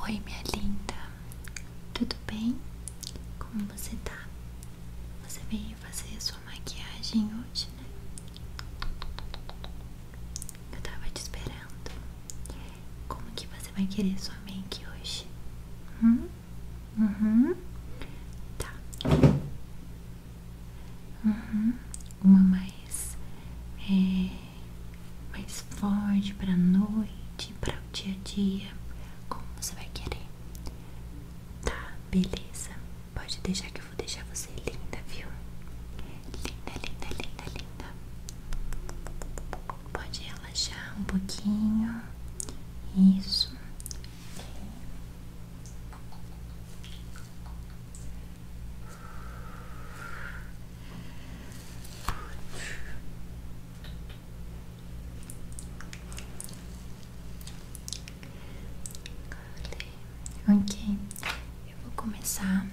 Oi, minha linda, tudo bem? Como você tá? Você veio fazer sua maquiagem hoje, né? Eu tava te esperando. Como que você vai querer sua make hoje? Hum? Uhum. Tá. Uhum. Uma mais é, mais forte para a noite, para o dia a dia, como você vai querer. Tá, beleza. Pode deixar que eu vou deixar você linda, viu? Linda, linda, linda, linda. Pode relaxar um pouquinho. Isso. Ok, eu vou começar,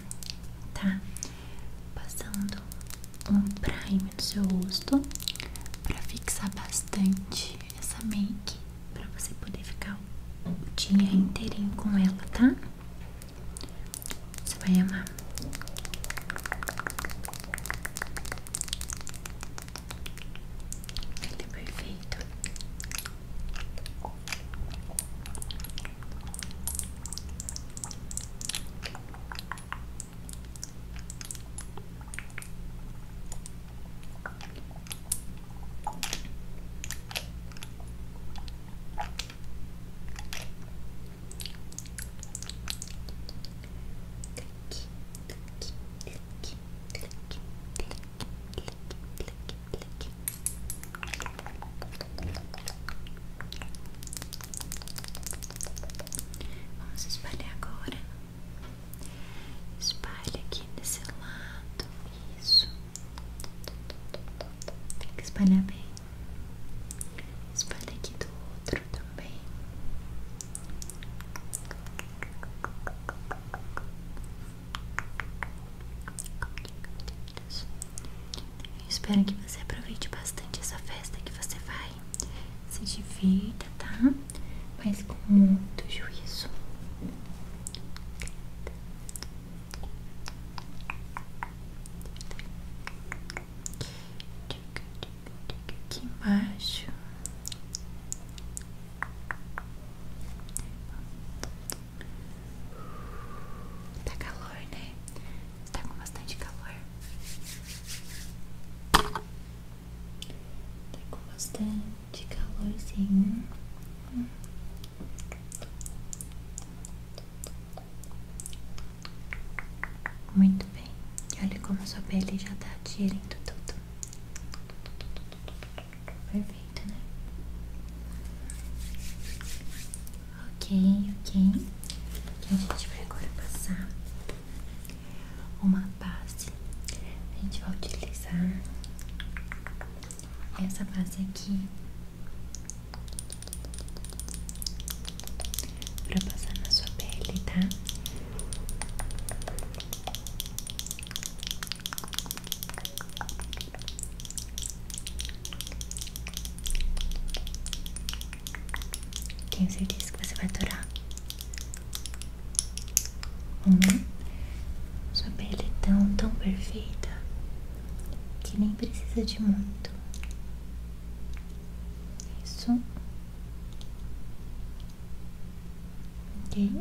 tá? Passando um prime no seu rosto para fixar bastante essa make para você poder ficar o dia inteirinho com ela, tá? Você vai amar. Ele é perfeito. Vamos espalhar agora. Espalha aqui desse lado. Isso. Tem que espalhar bem. Espalha aqui do outro também. espero que você aproveite bastante essa festa que você vai. Se divida, tá? Mas com muito juízo aqui embaixo. Tá calor, né? Tá com bastante calor. Tá com bastante calorzinho. Hum. Tá muito bem. Olha como a sua pele já tá adquirindo tudo. Perfeito, né? Ok, ok. a gente vai agora passar uma base. A gente vai utilizar essa base aqui Pra passar na sua pele, tá? Tenho certeza que você vai adorar. Hum, sua pele é tão, tão perfeita que nem precisa de muito. Isso. Ok.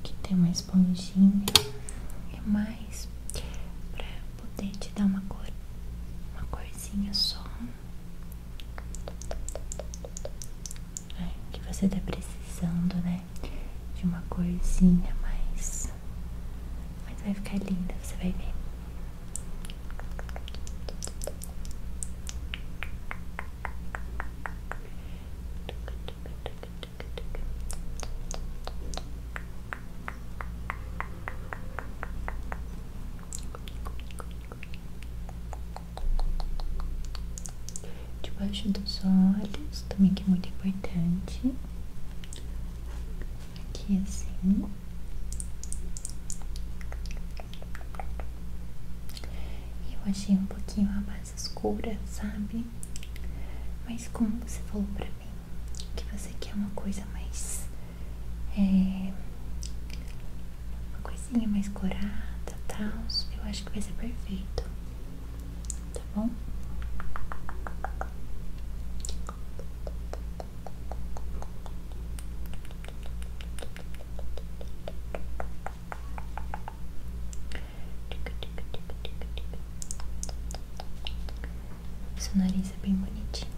Aqui tem uma esponjinha. É mais pra poder te dar uma cor, uma corzinha só. É, que você tá precisando, né? De uma coisinha, mais. Mas vai ficar linda, você vai ver. Debaixo dos olhos, também que é muito importante. Aqui assim. Eu achei um pouquinho a base escura, sabe? Mas como você falou pra mim que você quer uma coisa mais. É, uma coisinha mais corada e tal, eu acho que vai ser perfeito tá bom? Seu nariz é bem bonitinho.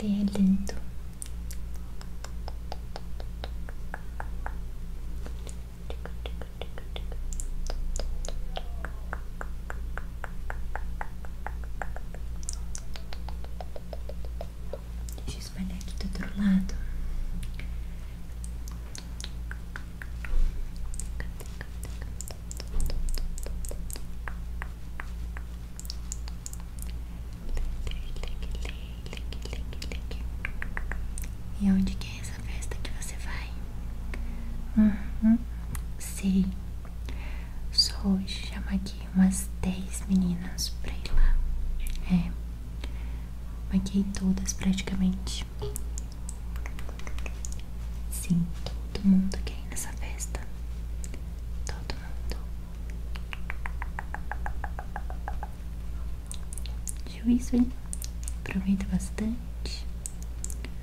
Ele é lindo. Deixa aqui do outro lado. E onde que essa festa que você vai? sim, uhum. sei. Só hoje chama aqui umas 10 meninas pra ir lá. É. Maquei todas praticamente. Sim, todo mundo quer ir nessa festa. Todo mundo. Juízo, hein? Aproveita bastante.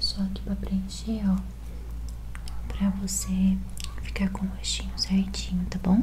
Só aqui para preencher, ó, pra você ficar com o rostinho certinho, tá bom?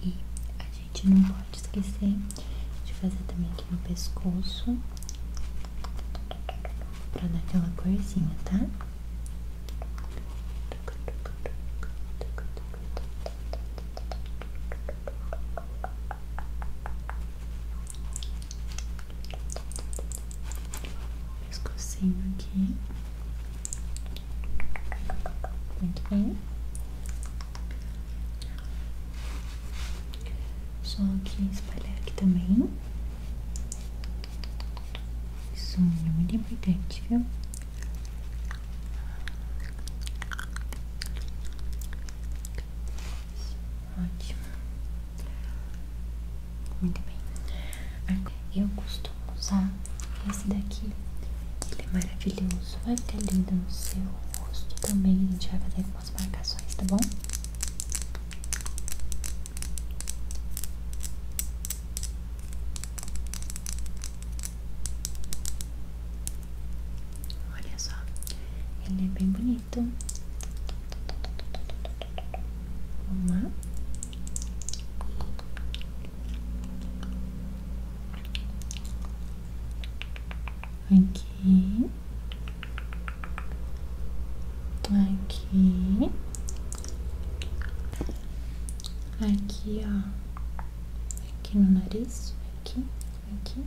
E a gente não pode esquecer de fazer também aqui no pescoço pra dar aquela corzinha, tá? pescocinho aqui, muito bem. Só aqui espalhar aqui também. Isso é muito importante, viu? Ótimo. Muito bem. Eu costumo usar esse daqui. Ele é maravilhoso. Vai ter lindo no seu rosto também. A gente vai fazer algumas marcações, tá bom? Olha só, ele é bem bonito. Vamos Aqui, aqui, aqui, ó, aqui no nariz, aqui, aqui,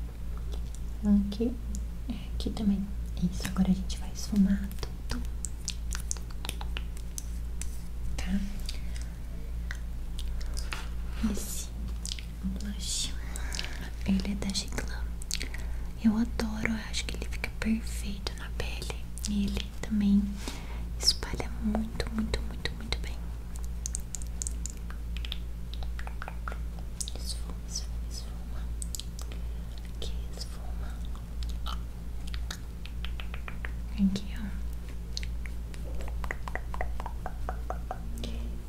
aqui, é, aqui também. Isso, agora a gente vai esfumar tudo. Tá? Esse blush, ele é da Giglan. Eu adoro, eu acho que ele fica perfeito na pele. E ele também espalha muito, muito, muito, muito bem. Esfuma, esfuma, esfuma. Aqui, esfuma. Aqui, ó.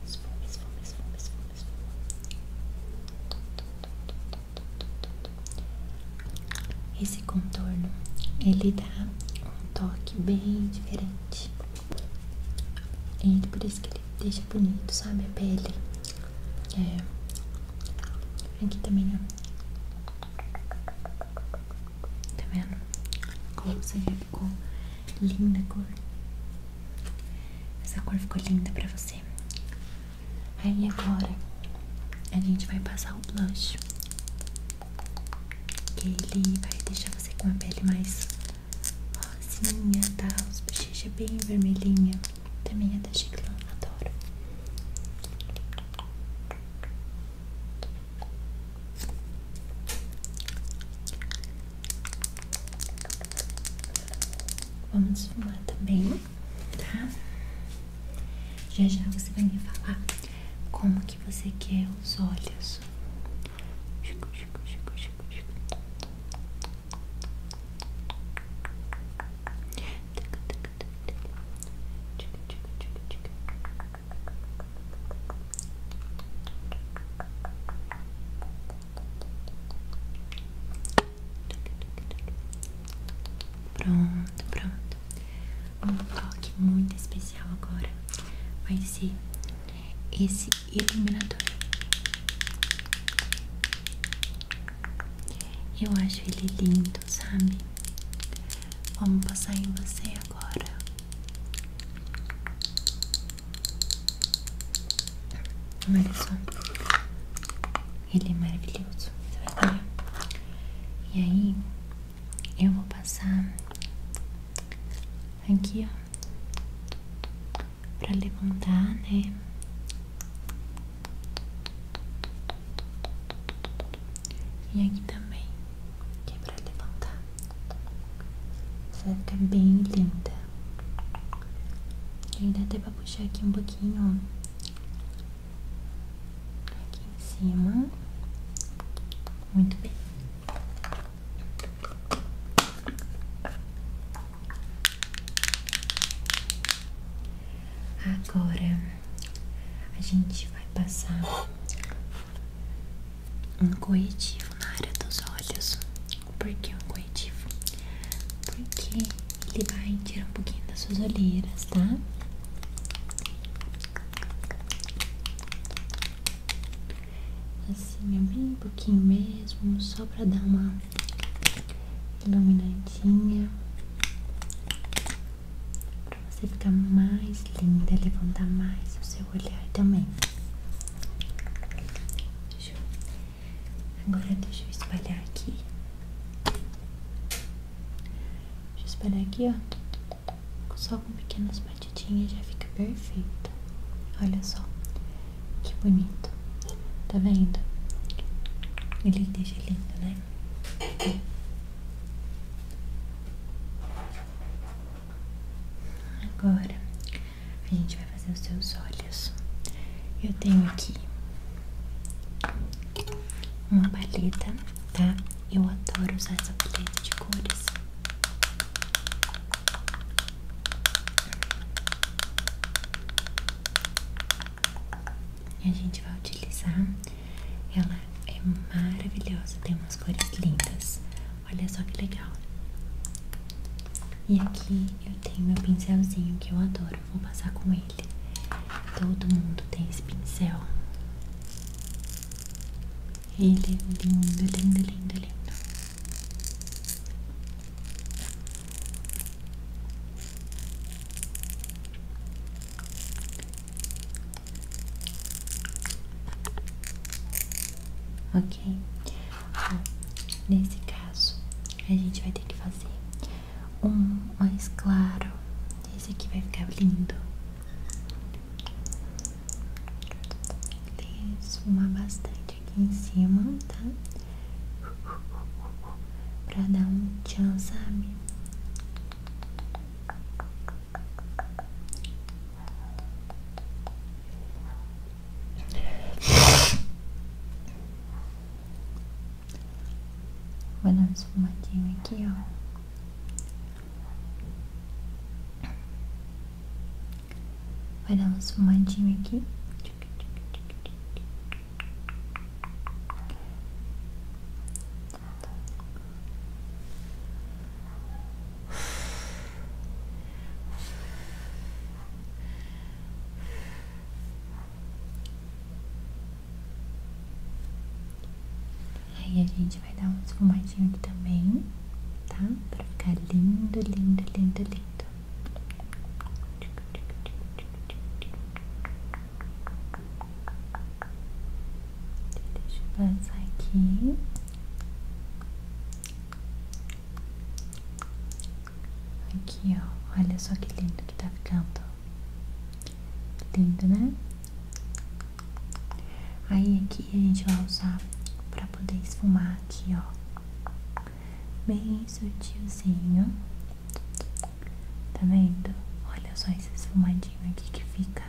Esfuma, esfuma, esfuma, esfuma, esfuma. Esse contorno, ele dá um toque bem diferente. E por isso que ele deixa bonito, sabe? A pele. É. Aqui também, ó. Tá vendo? Como você já ficou linda a cor. Essa cor ficou linda pra você. Aí agora a gente vai passar o blush. Que ele vai deixar você com a pele mais rosinha, tá? Os bochechas bem vermelhinha. Também é da Chiclã, adoro. Vamos fumar também, tá? Já já você vai me falar como que você quer os olhos Chico, chico, chico, chico, chico. Pronto, pronto. Um toque muito especial agora vai ser esse iluminador. Eu acho ele lindo, sabe? Vamos passar em você agora. Olha só. Ele é maravilhoso. Você vai ver. E aí, eu vou passar aqui, ó para levantar, né? E aqui também, que é pra levantar. Você vai ficar bem linda. E dá até pra puxar aqui um pouquinho, ó. Aqui em cima. Muito bem. Agora a gente vai passar um corretivo na área dos olhos. Por que um corretivo? Porque ele vai tirar um pouquinho das suas olheiras, tá? assim, é bem pouquinho mesmo, só pra dar uma iluminadinha, pra você ficar mais linda, levantar mais o seu olhar também. Deixa eu... Agora deixa eu espalhar aqui. Deixa eu espalhar aqui, ó. Só com pequenas batidinhas já fica perfeito. Olha só. Que bonito. Tá vendo? Ele deixa lindo, né? Agora a gente vai fazer os seus olhos. Eu tenho aqui uma paleta, tá? Eu adoro usar essa paleta de cores. E a gente vai utilizar. Ela é maravilhosa, tem umas cores lindas. Olha só que legal. E aqui eu tenho meu pincelzinho que eu adoro. Vou passar com ele. Todo mundo tem esse pincel. Ele é lindo, lindo, lindo, lindo. Ok? Então, nesse caso, a gente vai ter que fazer um mais claro. Esse aqui vai ficar lindo. Tem esfumar bastante aqui em cima, tá? Pra dar um tchan, sabe? Vou dar um esfumadinho aqui, ó. Vai dar uma esfumadinha aqui. Aí a gente vai dar um esfumadinho aqui também, tá? Pra ficar lindo, lindo, lindo, lindo. Deixa eu avançar aqui. Aqui, ó. Olha só que lindo que tá ficando. Lindo, né? Aí aqui a gente vai usar pra poder esfumar aqui, ó. Bem sutilzinho. Tá vendo? Olha só esse esfumadinho aqui que fica.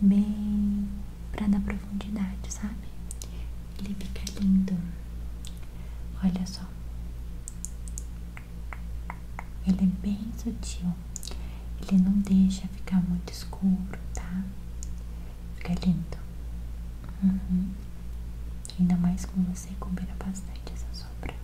Bem pra dar profundidade, sabe? Ele fica lindo. Olha só. Ele é bem sutil. Ele não deixa ficar muito escuro, tá? Fica lindo. Uhum. Ainda mais com você, combina bastante essa sombra.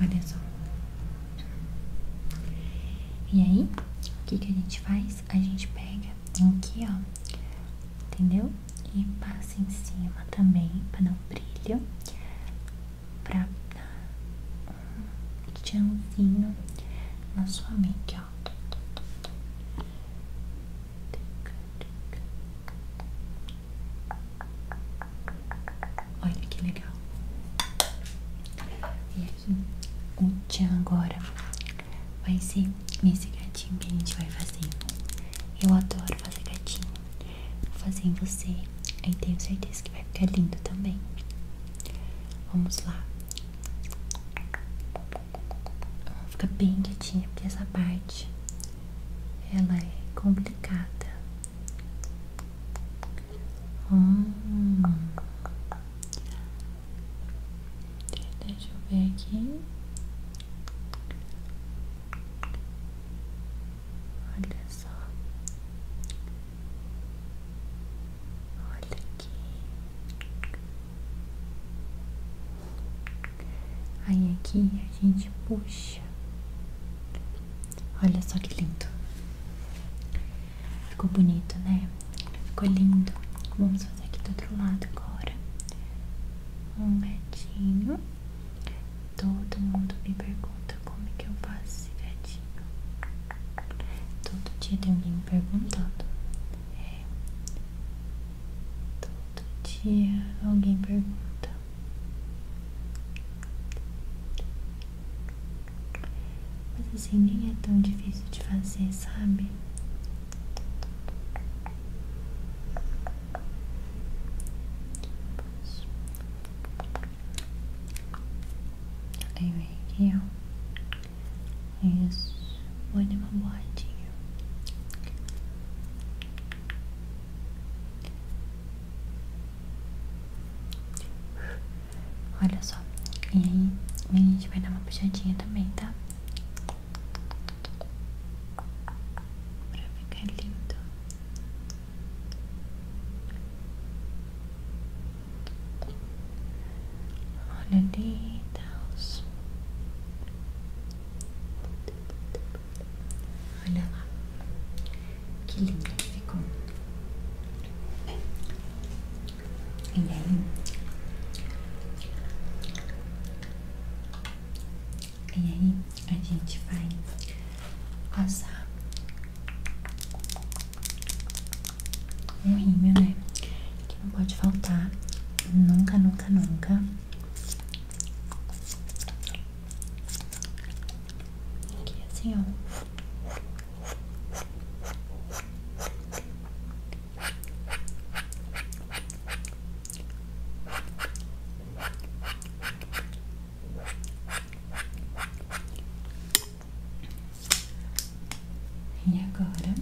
Olha só. E aí, o que, que a gente faz? A gente pega aqui, ó. Entendeu? E passa em cima também, para dar um brilho pra dar um tchanzinho na sua mente, ó. Olha que legal. E aqui, o tchan agora vai ser nesse gatinho que a gente vai fazer. Eu adoro fazer gatinho. Vou fazer em você. Aí tenho certeza que vai ficar lindo também. Vamos lá. Fica bem quietinha, porque essa parte ela é complicada. Hum. Deixa eu ver aqui. Olha só. Olha aqui. Aí aqui a gente puxa. Olha só que lindo. Ficou bonito, né? Ficou lindo. Vamos fazer aqui do outro lado agora. Um gatinho. Todo mundo me pergunta como que eu faço esse Todo dia tem alguém perguntando. É. Todo dia alguém pergunta. Mas assim, nem é tão difícil de fazer, sabe? Aí vem Isso. Vou dar uma boadinha. Olha só. E aí, a gente vai dar uma puxadinha também, tá? Pra ficar lindo. Olha ali, Deus. Olha lá. Que lindo ficou. E aí? E aí, a gente vai passar um rímel, né? Que não pode faltar. Nunca, nunca, nunca. Aqui assim, ó. E agora,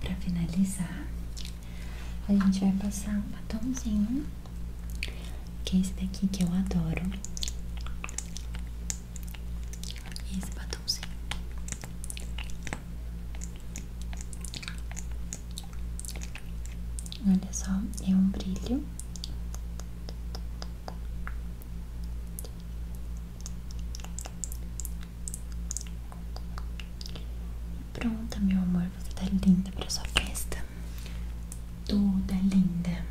para finalizar, a gente vai passar um batomzinho, que é esse daqui que eu adoro. Esse batomzinho. Olha só, é um brilho Pronta, meu amor, você tá linda pra sua festa. Toda linda.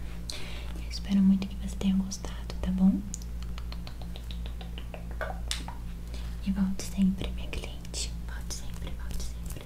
Eu espero muito que você tenha gostado, tá bom? E volte sempre, minha cliente. Volte sempre, volte sempre.